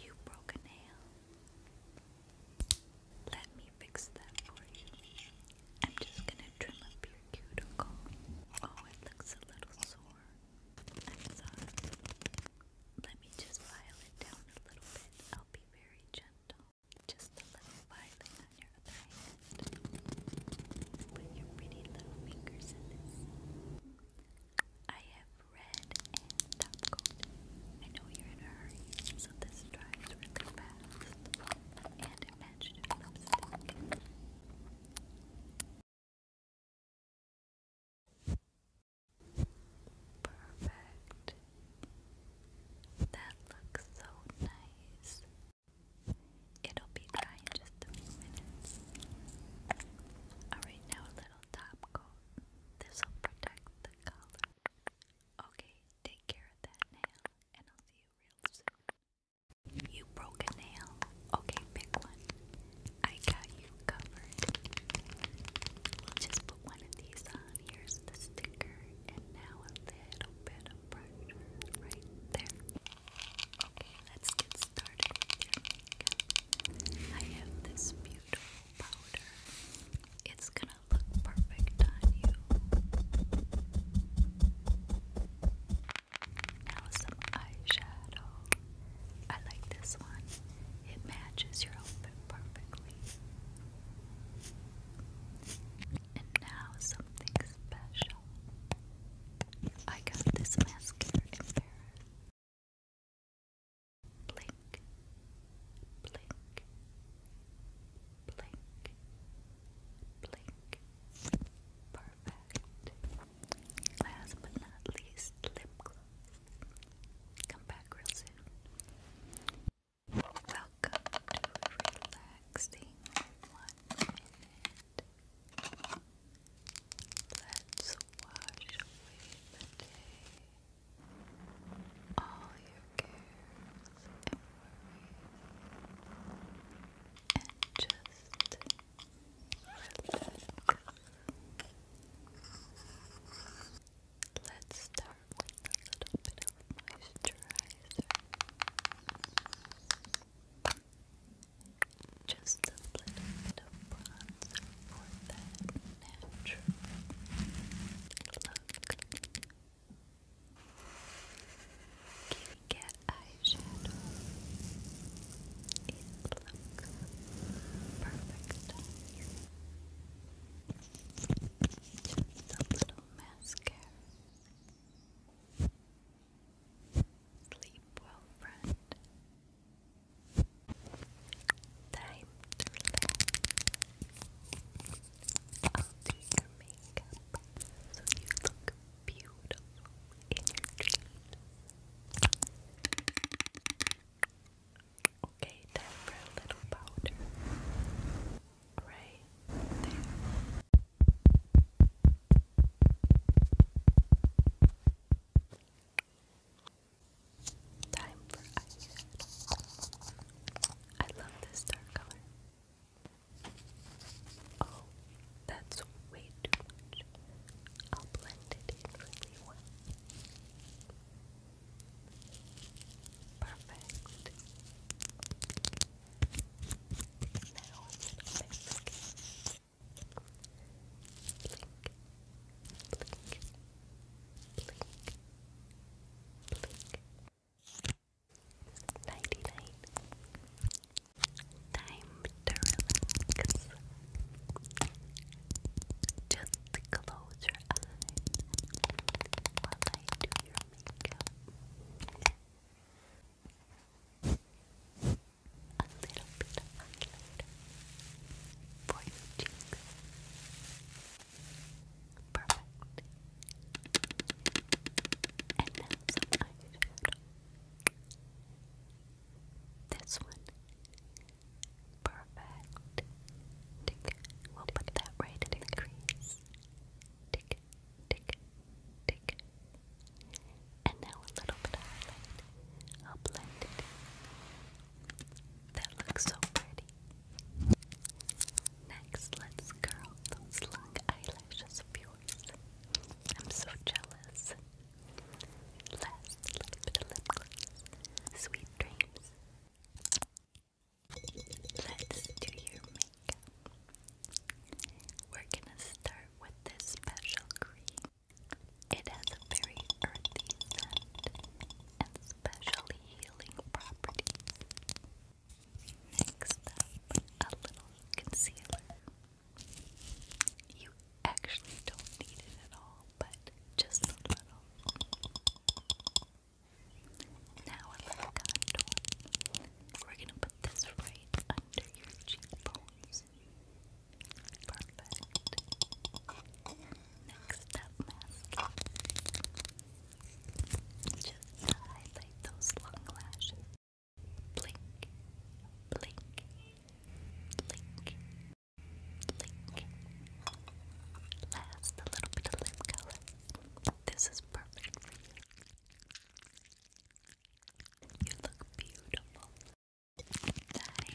You broke a nail. Let me fix that for you. I'm just gonna trim up your cuticle. Oh, it looks a little sore. Let me just file it down a little bit. I'll be very gentle. Just a little filing on your other hand. Put your pretty little fingers in this. I have red and top gold. I know you're in a hurry, so this dries really fast. And it matched lipstick. Perfect. That looks so nice. It'll be dry in just a few minutes. Alright, now a little top coat. This'll protect the collar. Okay, take care of that nail, and I'll see you real soon. You broke a nail. Okay, pick one. I got you covered. just put one of these on. Here's the sticker, and now a little bit of pressure right there. Okay, let's get started I have this beautiful powder. It's gonna look perfect on you. Now some eyeshadow. I like this one. It matches your outfit perfectly. And now something special. I got this mascara in Paris blink, blink, blink, blink. Perfect. Last but not least, lip gloss. Come back real soon. Welcome to relaxing one minute Let's wash away the day, all your cares and just relax. Let's start with a little bit of moisturizer. Just a little bit of bronzer for that natural look. Kitty cat eyeshadow. It looks perfect Just a little mascara. Sleep well, friend. Time to relax. I'll do your makeup so you look beautiful in your dreams. Okay, time for a little powder. Right there. Time for eyeshadow. I love this dark color. Oh, that's way too much. I'll blend it in really well. Perfect. Now it's Nighty night. Time to relax. Just close your eyes while I do your makeup a little bit of highlighter for your cheeks. Perfect. And now some eyeshadow. This one. Perfect. We'll put that right in the crease. Tick tick, tick. And now a little bit of highlight. I'll blend it. That looks so pretty. Next, let's curl those long eyelashes of yours. I'm so jealous. Last, a little bit of lip Sweet dreams. Let's do your we're gonna start with this special cream. It has a very earthy scent and specially healing properties. Next up, a little concealer. You actually don't need it at all, but just a little. Now a little contour. We're gonna put this right under your cheekbones. Perfect. Next up, mascara. Just highlight those long lashes. Blink, blink, blink, blink. Last, a little bit of lip color. This is perfect for you. You look beautiful. Time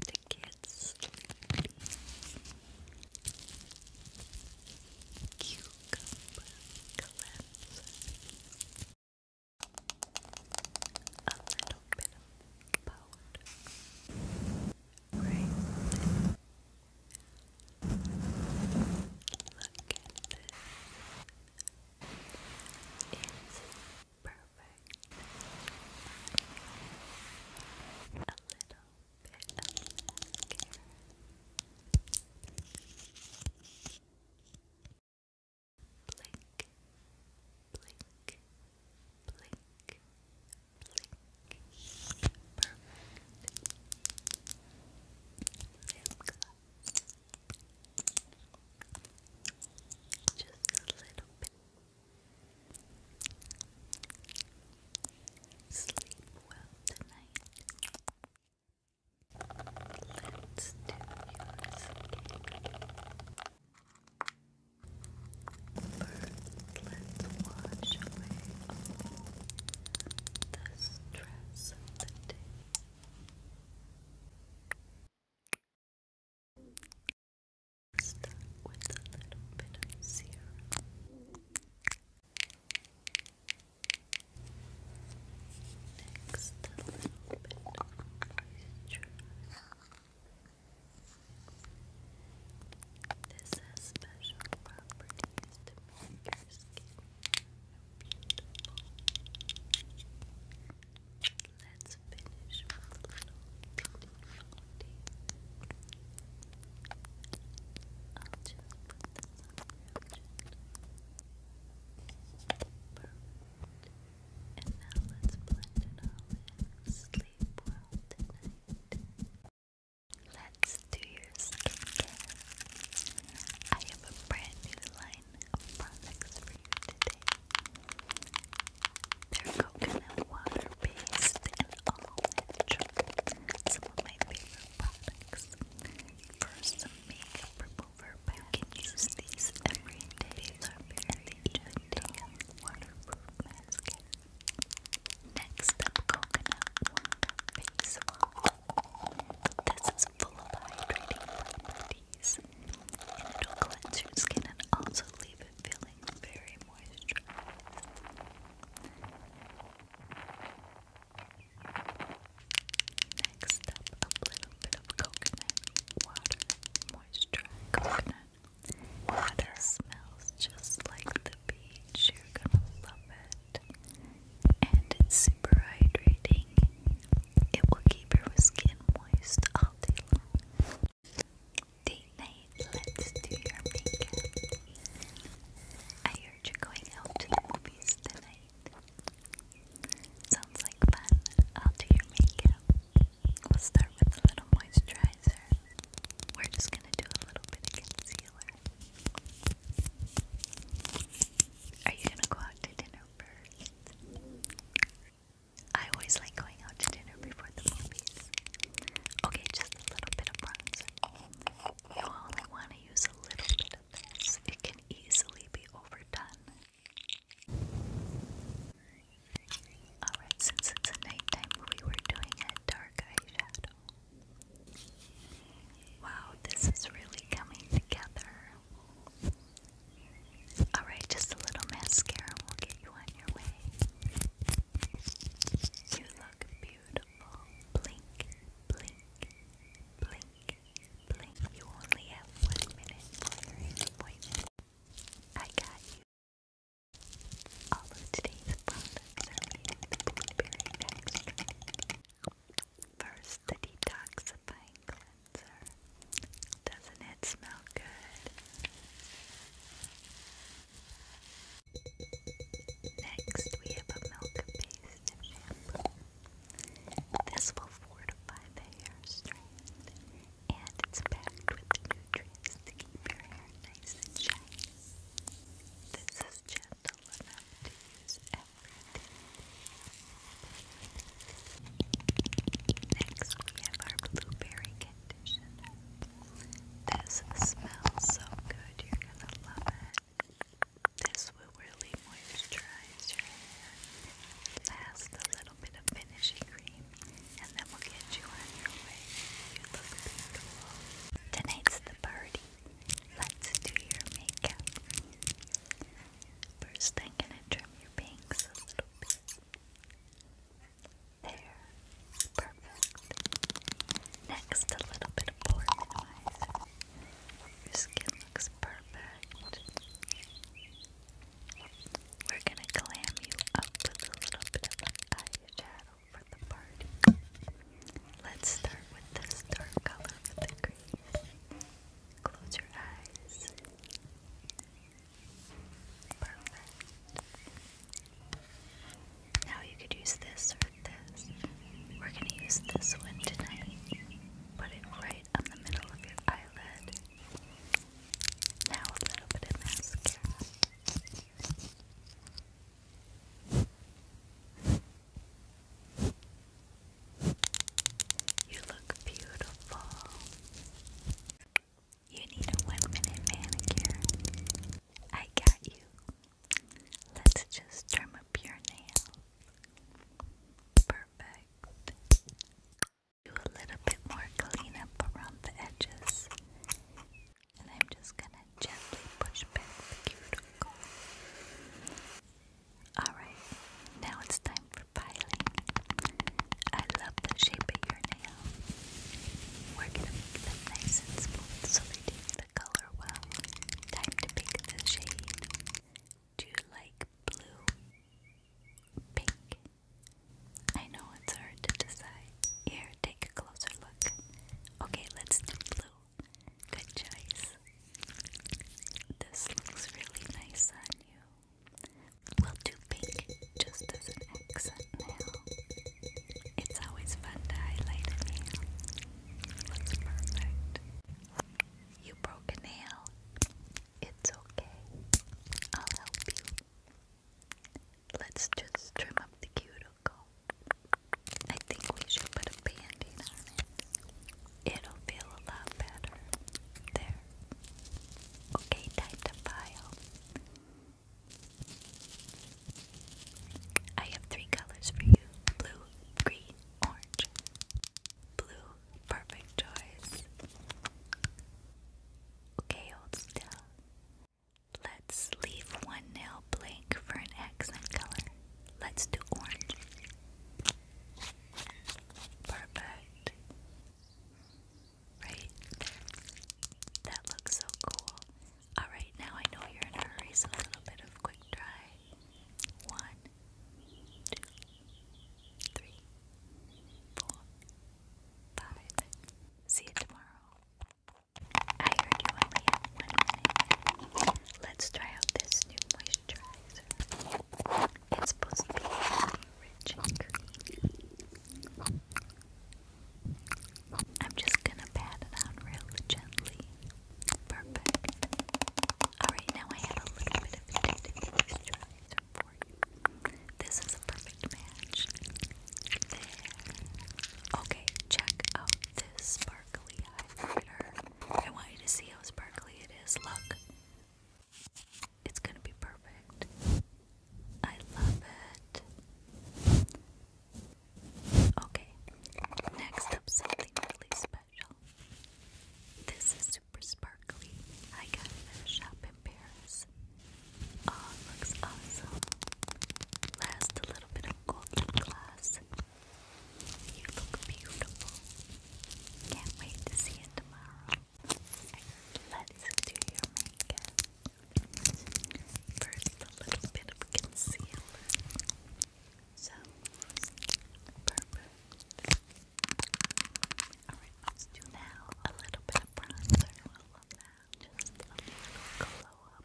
to get Cucumber cleanser. A little bit of powder. Right Look at this. It's perfect. A little bit of mascara. Blink, blink, blink, blink. Perfect. Lip gloss. Just a little bit. Sleep well tonight. Let's do yours First, let's wash away all the stress of the day. Start with a little bit of serum. Next, a little bit of moisture. This has special properties to make your skin beautiful. Let's finish with a foundation. And now let's blend it all in. Sleep well tonight. Let's do your skincare. I have a brand new line of products for you today. They're coconut water based and all natural. Some of my favorite products. First, some makeup remover pads. can use these every day. These are very gentle waterproof mascara. Next up, coconut water This is full of hydrating properties, and it'll cleanse your skin and also leave it feeling very moisturized. Next up, a little bit of coconut water moisturizer. Coconut Water smells just like the beach. You're gonna love it. And it's super hydrating. It will keep your skin moist all day long. Date let's do your makeup. I heard you're going out to the movies tonight. Sounds like fun. I'll do your makeup. We'll start with a little moisturizer. We're just gonna do a little bit of concealer. Are you gonna go out to dinner first? I always like going out to dinner before the movies. Okay, just a little bit of bronzer. You only want to use a little bit of this, it can easily be overdone. Alright, oh, since it's a nighttime we're doing a dark eyeshadow. Wow, this is really coming together. Alright, just a little mascara will get you on your way. You look beautiful. Blink, blink, blink, blink. You only have one minute for your I got you. All of today's products are made with First, the detoxifying cleanser. Doesn't it smell good? Next, we have a milk-based shampoo. This will fortify the hair strand and it's packed with nutrients to keep your hair nice and shiny. This is gentle enough to use everything. Next, we have our blueberry conditioner. This smells so good, you're gonna love it. This will really moisturize your hair, last a little finishing cream, and then we'll get you on your way. You look beautiful. Tonight's the party. Let's do your makeup. First, I'm gonna trim your bangs a little bit. There. Perfect. Next, a little bit of pore minimizer. Your skin looks perfect. We're gonna clam you up a little bit for the party. Let's start with this dark color for the crease. Close your eyes. Perfect. Now you could use this or this. We're gonna use this one tonight. Put it right on the middle of your eyelid. Now a little bit of mascara. You look beautiful. You need a one minute manicure. I got you. Let's just trim up your nails. Perfect do a little bit more cleanup around the edges. And I'm just gonna gently push back the cuticle. Alright, now it's time for piling. I love the shape of your nail. We're gonna make them nice and smooth so they take the color well. Time to pick the shade. Do you like blue? Pink? I know it's hard to decide. Here, take a closer look. Okay, let's do blue. Good choice. This looks really nice on you. We'll do pink just as an accent now. It's always fun to highlight a nail. Looks perfect. You broke a nail. It's okay. I'll help you. Let's just trim up the cuticle. I think we should put a band on it. It'll feel a lot better. There. Okay, time to file. I have three colors for you blue, green, orange. Blue Perfect choice. Okay, hold still. Let's leave one nail blank for an accent color. Let's do orange. Perfect. Right? That looks so cool. Alright, now I know you're in a hurry, so a little bit of quick dry. One, two, three, four, five. See you tomorrow. I heard Let's try out this new moisturizer. It's supposed to be rich and creamy. I'm just gonna pat it on real gently. Perfect. Alright, now I have a little bit of tinted moisturizer. This is a perfect match. Okay, check out this sparkly highlighter. I want you to see how sparkly it is. Look. It's gonna be perfect. I love it. Okay, next up, something really special. This is super sparkly. I got it at a shop in Paris. Oh, looks awesome. Last a little bit of gold lip gloss. You look beautiful. Can't wait to see it tomorrow. Let's do your makeup. First, a little bit of concealer. So perfect. Alright, let's do now a little bit of bronzer. I love that. Just a glow up.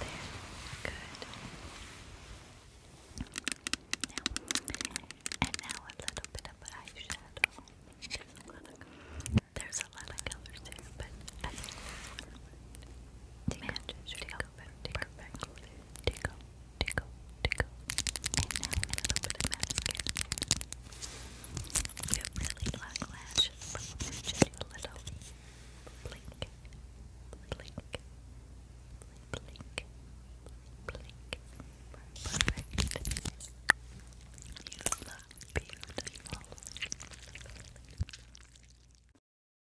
there. Good. and now a little bit of eyeshadow. There's a lot of colors. There's but I think this one matches. Take, take, take tickle, tickle, tickle. And You have really long lashes, just a little blink, blink, blink, blink, blink. Perfect. You beautiful.